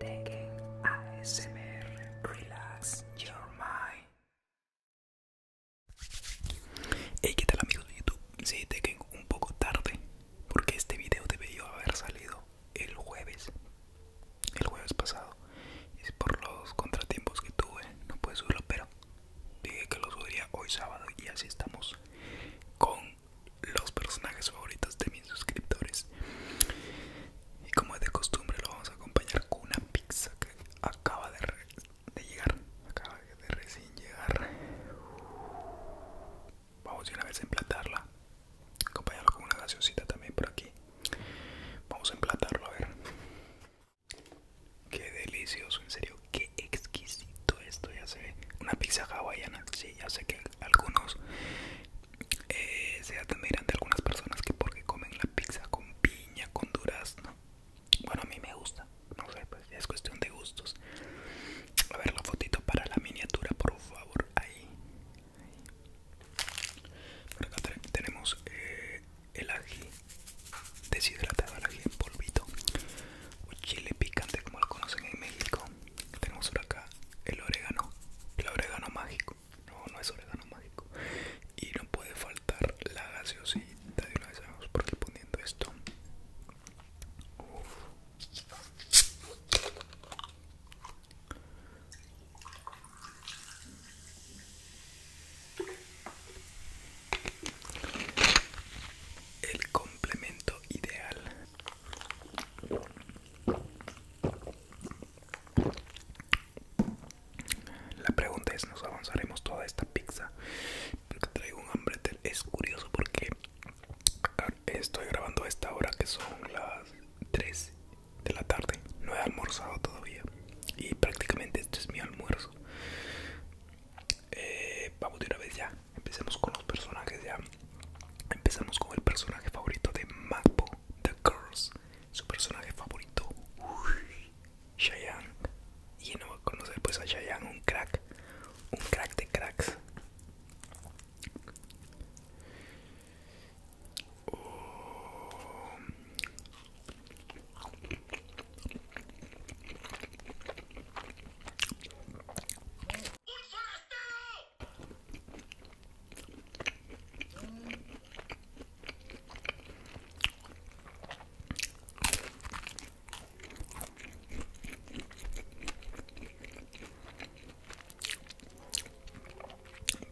ASMR Relax Your Mind. Hey, ¿qué tal amigos de YouTube? Sí, Tekken un poco tarde porque este video debería haber salido el jueves, el jueves pasado. Es por los contratiempos que tuve, no pude subirlo, pero dije que lo subiría hoy sábado y así estamos con los personajes favoritos de mis suscriptores. Y como es de costumbre, lo vamos a acompañar con una pizza que acaba de, llegar. Acaba de recién llegar. Vamos a una vez a emplatarla. acompañarla con una gaseosita también por aquí. Vamos a emplatarlo, a ver. Qué delicioso, en serio, qué exquisito esto, ya sé. Una pizza hawaiana, sí, ya sé que algunos eh, se admiran de algunas personas que porque comen la pizza con piña, con durazno. Bueno, a mí me gusta, no sé, pues es cuestión de gustos. A ver la fotito para la miniatura, por favor, ahí. tenemos eh, el ají deshidratado, el ají en polvito o chile picante como lo conocen en México tenemos por acá el orégano, el orégano mágico. No, no es orégano mágico. Y no puede faltar la gaseosita. De una vez vamos por aquí poniendo esto. El complemento ideal la pregunta es, ¿nos avanzaremos toda esta pizza? Porque traigo un hambre, es curioso porque ah, estoy grabando a esta hora que son las 3 de la tarde, no he almorzado todavía y prácticamente este es mi almuerzo. Eh, vamos de una vez ya. Empecemos con los personajes ya. Empezamos con el personaje favorito de Mapo, The Girls. Su personaje favorito, uy, Y no va a conocer pues a Cheyenne, un crack. Un crack de cracks.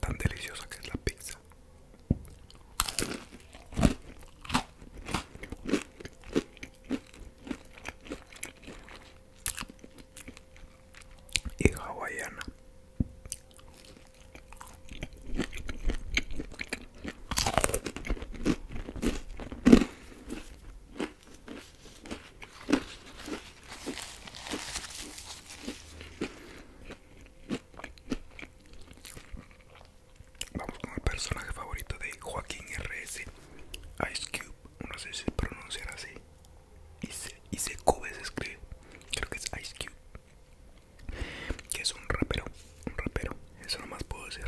Tan deliciosa que es la pizza y hawaiana. Vamos con el personaje favorito de Joaquín R. Ice Cube, no sé si se pronunciar así. Y se Cube se escribe, creo que es Ice Cube. Que es un rapero, un rapero, eso más puedo decir.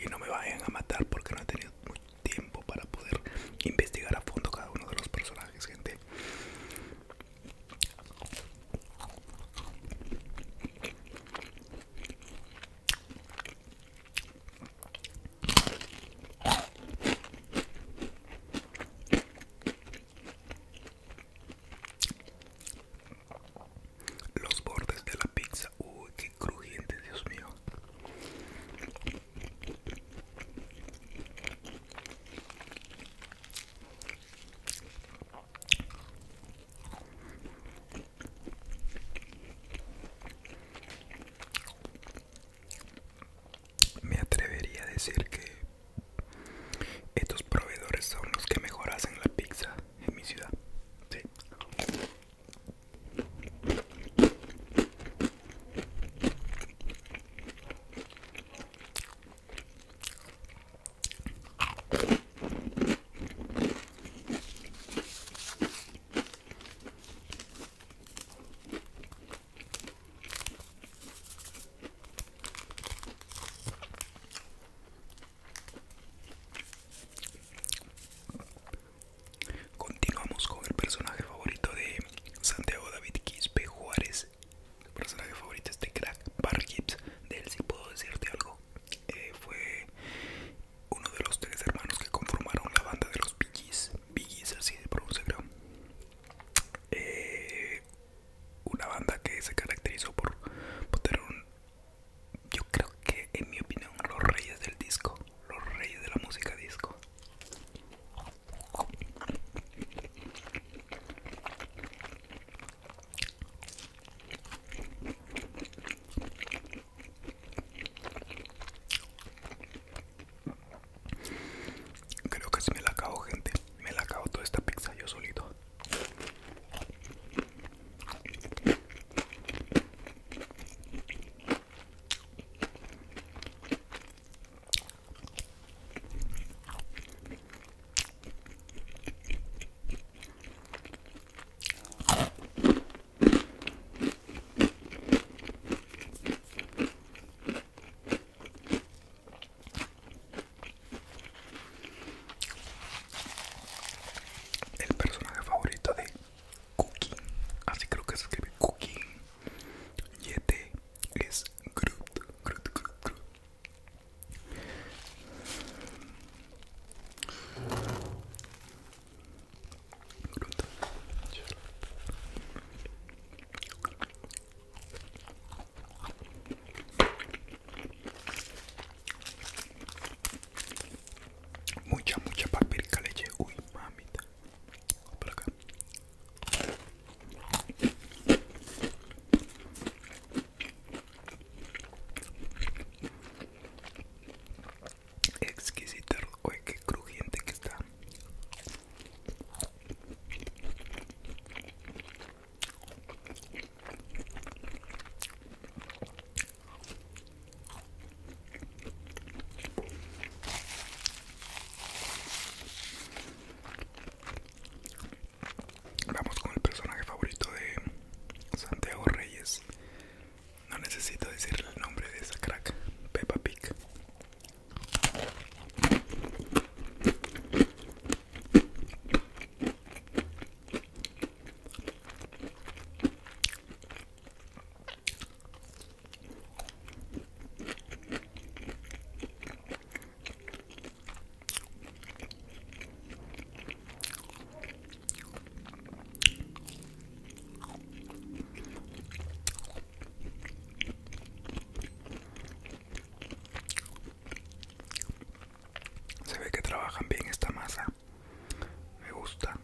Y no me vayan a matar porque no he tenido mucho tiempo para poder investigar a fondo cada uno de los personajes, gente. Los bordes de la pizza, uy, qué crujiente, Dios mío. Me atrevería a decir que estos proveedores son los que mejor hacen la pizza en mi ciudad. Continuamos con el personaje favorito de Santiago David Quispe Juárez. El personaje favorito es de crack, Bar Gibbs. De él sí puedo decirte algo. Eh, fue uno de los tres hermanos que conformaron la banda de los Billys, así se pronuncia creo. Eh, una banda que se caracterizó por, por tener yo creo que en mi opinión, los reyes del disco, los reyes de la música disco. Creo que si me la acabo, gente. Me la acabo toda esta pizza yo solito. El personaje favorito de Cookie, así creo que se escribe Cookie, Yete es Groot, Groot, Groot, Groot. Mucha, mucha paprika leche. Uy, mamita. Por acá. Exquisito, oye, qué crujiente que está. Vamos con el personaje favorito de Santiago Reyes. No necesito decirle el nombre de esa crack, Peppa Pig. Se ve que trabajan bien esta masa. Me gusta.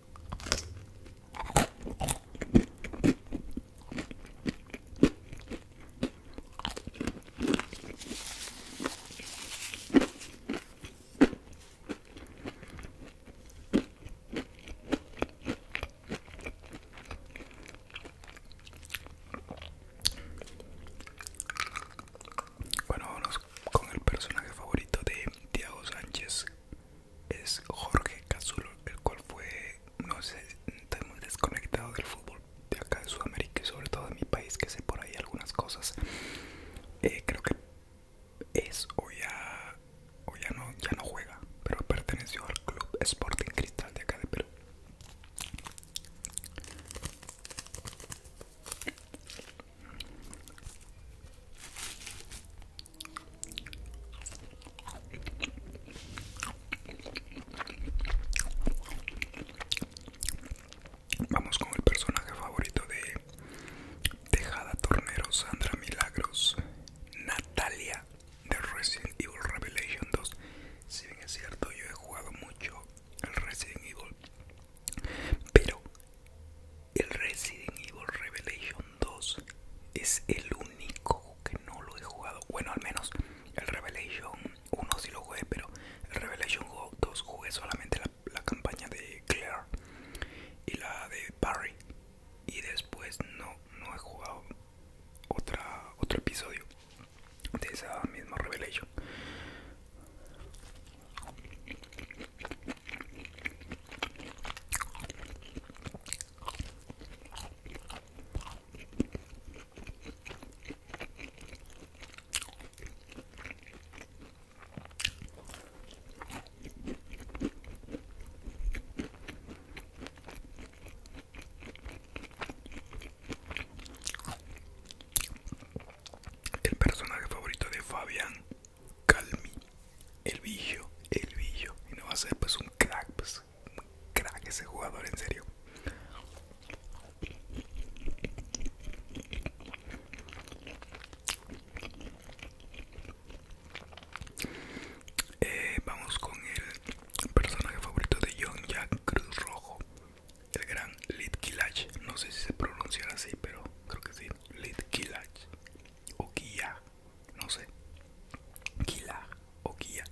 Bueno, con el personaje favorito de Tiago Sánchez. Es Jorge casulo el cual fue, no sé, estoy muy desconectado del fútbol, de acá de Sudamérica y sobre todo de mi país que sé por ahí algunas cosas eh, creo que es o ya o ya no ya no juega pero perteneció al club Sporting Cristal de acá de Perú Vamos con el personaje favorito de Tejada Tornero, Sandra Milagros, Natalia de Resident Evil Revelation 2. Si bien es cierto, yo he jugado mucho el Resident Evil, pero el Resident Evil Revelation 2 es el único que no lo he jugado. Bueno, al menos el Revelation uno sí lo jugué, pero Revelation 2 jugué solamente la, campaña de Claire y la de Barry. Y después no, he jugado otra, otro episodio de esa misma Revelation. El personaje favorito de Fabián Calmi, el billo, el billo. Y no va a ser pues un crack, pues un crack ese jugador, en serio. Eh, vamos con el personaje favorito de John Jack Cruz Rojo, el gran Killach. No sé si se pronuncia así, pero creo que sí. Lit o Kia, no sé. Kila o Kia.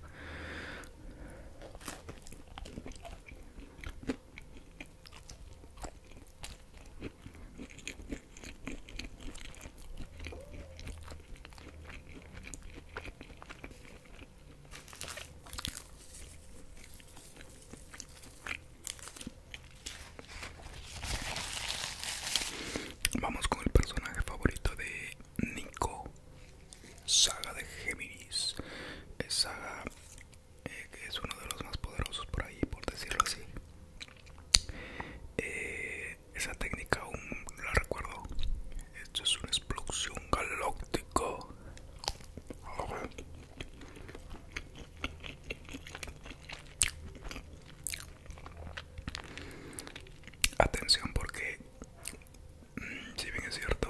Vamos con el personaje favorito de Nico Saga de Géminis. Es saga eh, que es uno de los más poderosos por ahí, por decirlo así. Eh, esa técnica aún la recuerdo. Esto es una explosión galáctica. Atención porque si bien es cierto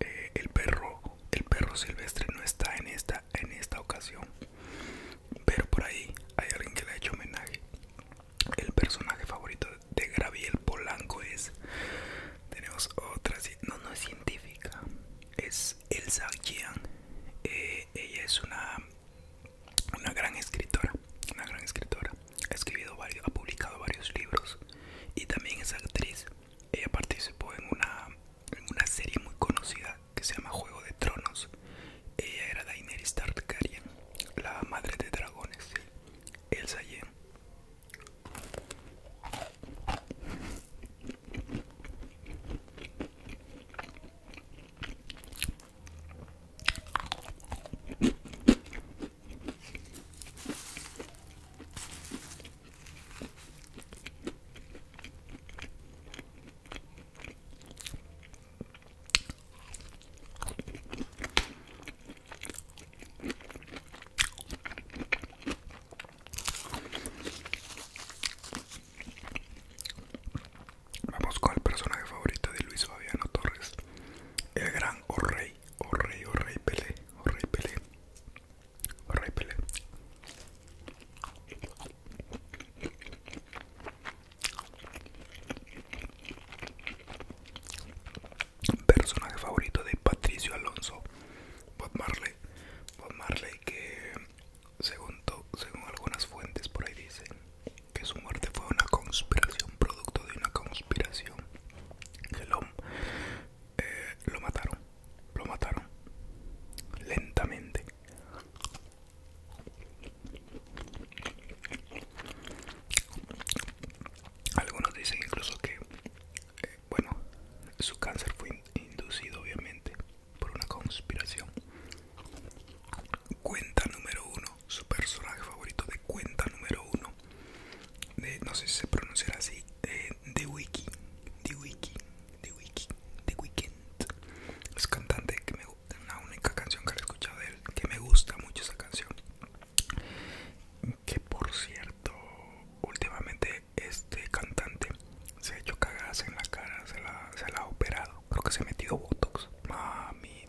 eh, el perro el perro silvestre no está en esta en esta ocasión pero por ahí hay alguien que le ha hecho homenaje el personaje favorito de Graviel Polanco es tenemos otra no no es científica es Elsa Kian, eh, ella es una una gran escritora una gran escritora ha escribido varios, ha publicado varios libros y también es actriz. Ella participó en una, una serie muy conocida que se llama Juego de Tronos. Ella era Daenerys Targaryen, la madre de dragones, Elsa Yen. Vamos con el personaje favorito de Luis Fabiano Torres, el gran o oh rey, oh rey pele, oh rey oh Personaje favorito de Patricio Alonso, Bob Marley, Bob Marley que según, según algunas fuentes por ahí dicen que su muerte fue una conspiración, producto de una conspiración lo, eh, lo mataron, lo mataron lentamente. Algunos dicen incluso que, eh, bueno, su cáncer fue inducido obviamente por una conspiración. Cuenta número uno su personaje favorito de cuenta número uno de, no sé si se pronunciará así, de, de Wiki, de Wiki, de Wiki, de Weekend. Es cantante que me gusta, la única canción que he escuchado de él, que me gusta mucho esa canción. Que por cierto, últimamente este cantante se ha hecho cagadas en la cara, se la, se la ha operado, creo que se ha metido botox. Mami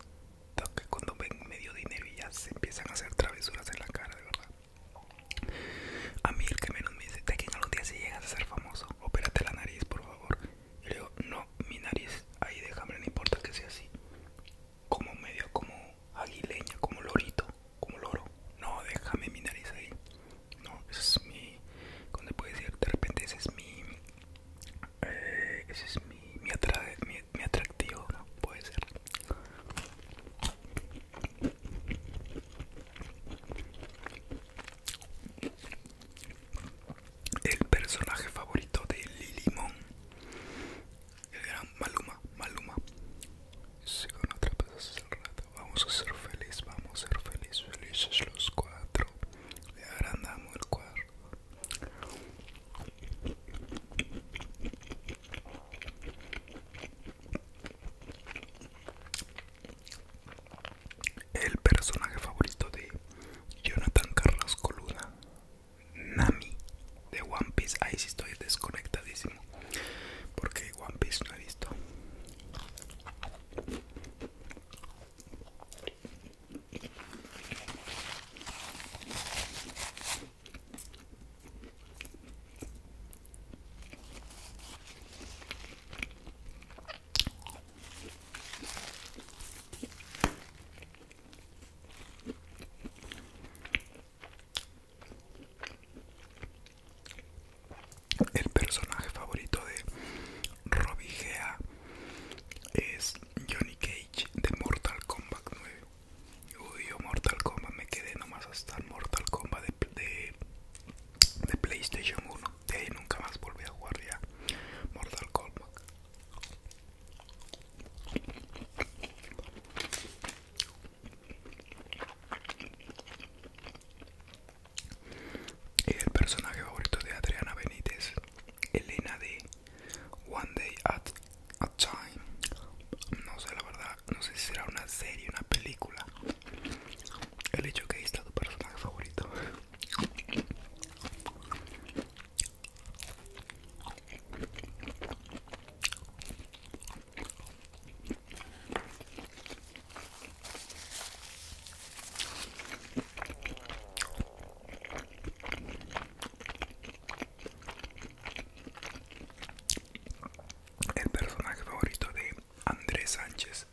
que cuando ven medio dinero y ya se empiezan a hacer travesuras en la cara, de verdad. A mí el que menos me dice, de aquí en los días si llegas a ser famoso, opérate la nariz, por favor. Y le digo, no, mi nariz, ahí déjame, no importa que sea así. Como medio, como aguileña, como lorito, como loro. No, déjame mi nariz ahí. No, ese es mi, ¿cómo te puedes decir? De repente ese es mi, eh, ese es mi, mi, mi mi, atractivo, ¿no? Puede ser. El personaje favorito de Lilimón. El gran Maluma, Maluma. vamos a ser felices, vamos a ser felices felices los cuatro. Le agrandamos el cuadro. El personaje favorito de Jonathan Carlos Coluna Nami de One Piece. Ahí sí estoy desconectadísimo porque One Piece no he visto. El personaje favorito de RobiGEA es Johnny Cage de Mortal Kombat 9. Uy, yo Mortal Kombat me quedé nomás hasta el Mortal Kombat de, de, PlayStation 1. De ahí nunca más volví a jugar ya Mortal Kombat. Y el personaje favorito de Adriana Benítez Elena de One Day at a Time. No sé, la verdad, no sé si será una serie, una película. El hecho que ahí está tu personaje favorito. El personaje favorito de Andrés Sánchez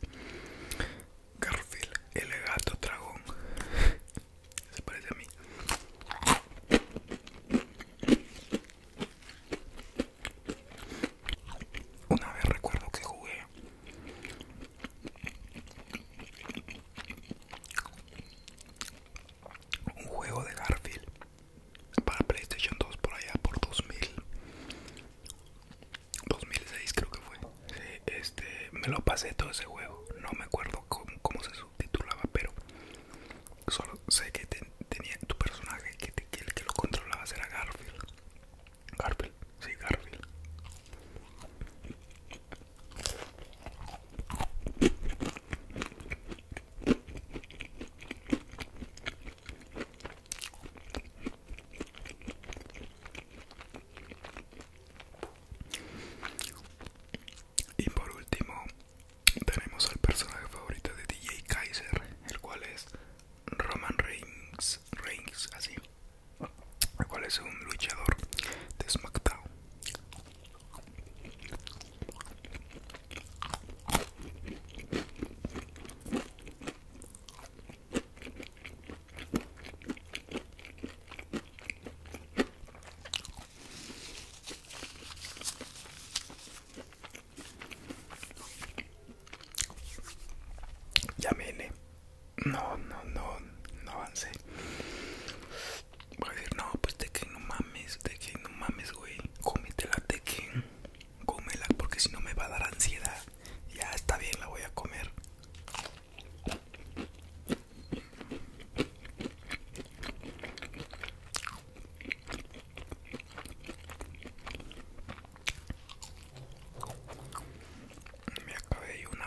Garfield, el gato dragón. Se parece a mí. Una vez recuerdo que jugué un juego de Garfield para PlayStation 2 por allá por 2000 2006 creo que fue este me lo pasé todo ese juego no me acuerdo cómo, se subtitulaba pero solo sé que tenía tu personaje que, el que lo controlaba era Garfield Garfield si Garfield y por último, tenemos al personaje favorito de DJ Kaiser, el cual es Roman Reigns, Reigns así el cual es un luchador de SmackDown. Ya no, no, no, no avance Voy a decir, no, pues que no mames, de que no mames, güey. Cómetela, que cómela, porque si no me va a dar ansiedad. Ya está bien, la voy a comer. Me acabé una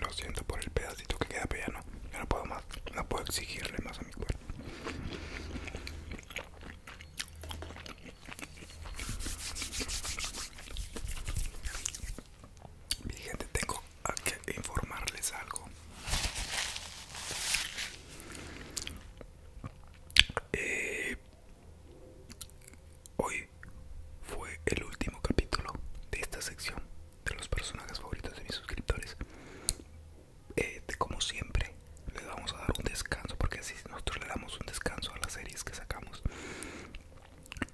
Lo siento por el pedacito que queda, pero ya no, no puedo más, no puedo exigirle más a mi cuerpo. Mi gente, tengo que informarles algo. Eh, Hoy fue el último capítulo de esta sección de los personajes favoritos de mis suscriptores. Eh, como siempre, les vamos a dar un descanso porque si nosotros le damos un descanso a las series que sacamos.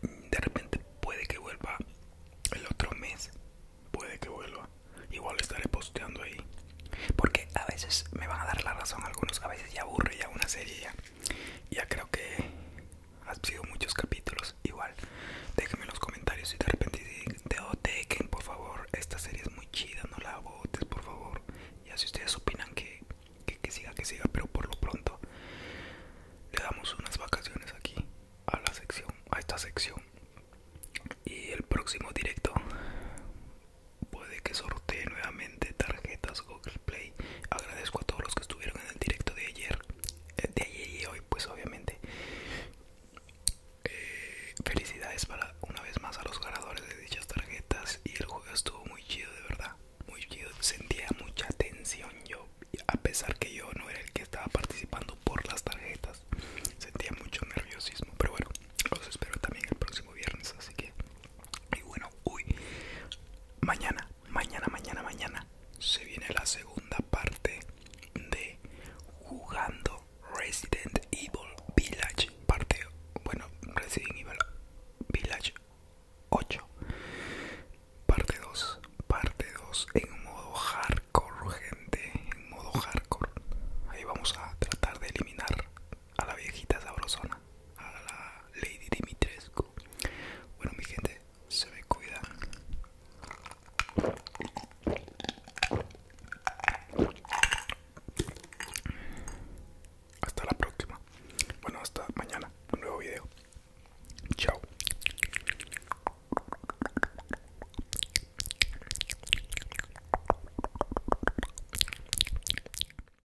De repente puede que vuelva el otro mes, puede que vuelva. Igual estaré posteando ahí. Porque a veces me van a dar la razón algunos, a veces ya aburre ya una serie ya creo que ha sido muchos capítulos igual déjenme en los comentarios si de repente de que por favor esta serie es muy chida no la votes por favor ya si ustedes opinan que, que, que siga que siga pero por lo pronto le damos unas vacaciones aquí a la sección a esta sección y el próximo directo puede que sortee nuevamente tarjetas Play. Agradezco a todos los que estuvieron en el directo de ayer, eh, de ayer y hoy, pues obviamente. Eh, felicidades para una vez más a los ganadores de dichas tarjetas y el juego estuvo muy chido, de verdad, muy chido. Sentía mucha tensión yo, a pesar que yo no era el que estaba participando por las tarjetas. Sentía mucho nerviosismo, pero bueno, los espero también el próximo viernes, así que y bueno, uy, mañana, mañana, mañana, mañana se viene la segunda parte de jugando Resident Evil Village, parte, bueno, Resident Evil Village 8, parte 2, parte 2 en modo hardcore, gente, en modo hardcore. Ahí vamos a tratar de eliminar a la viejita sabrosona, a la Lady Dimitrescu. Bueno, mi gente, se me cuida. Hasta la próxima. Bueno, hasta mañana. Un nuevo video. Chao.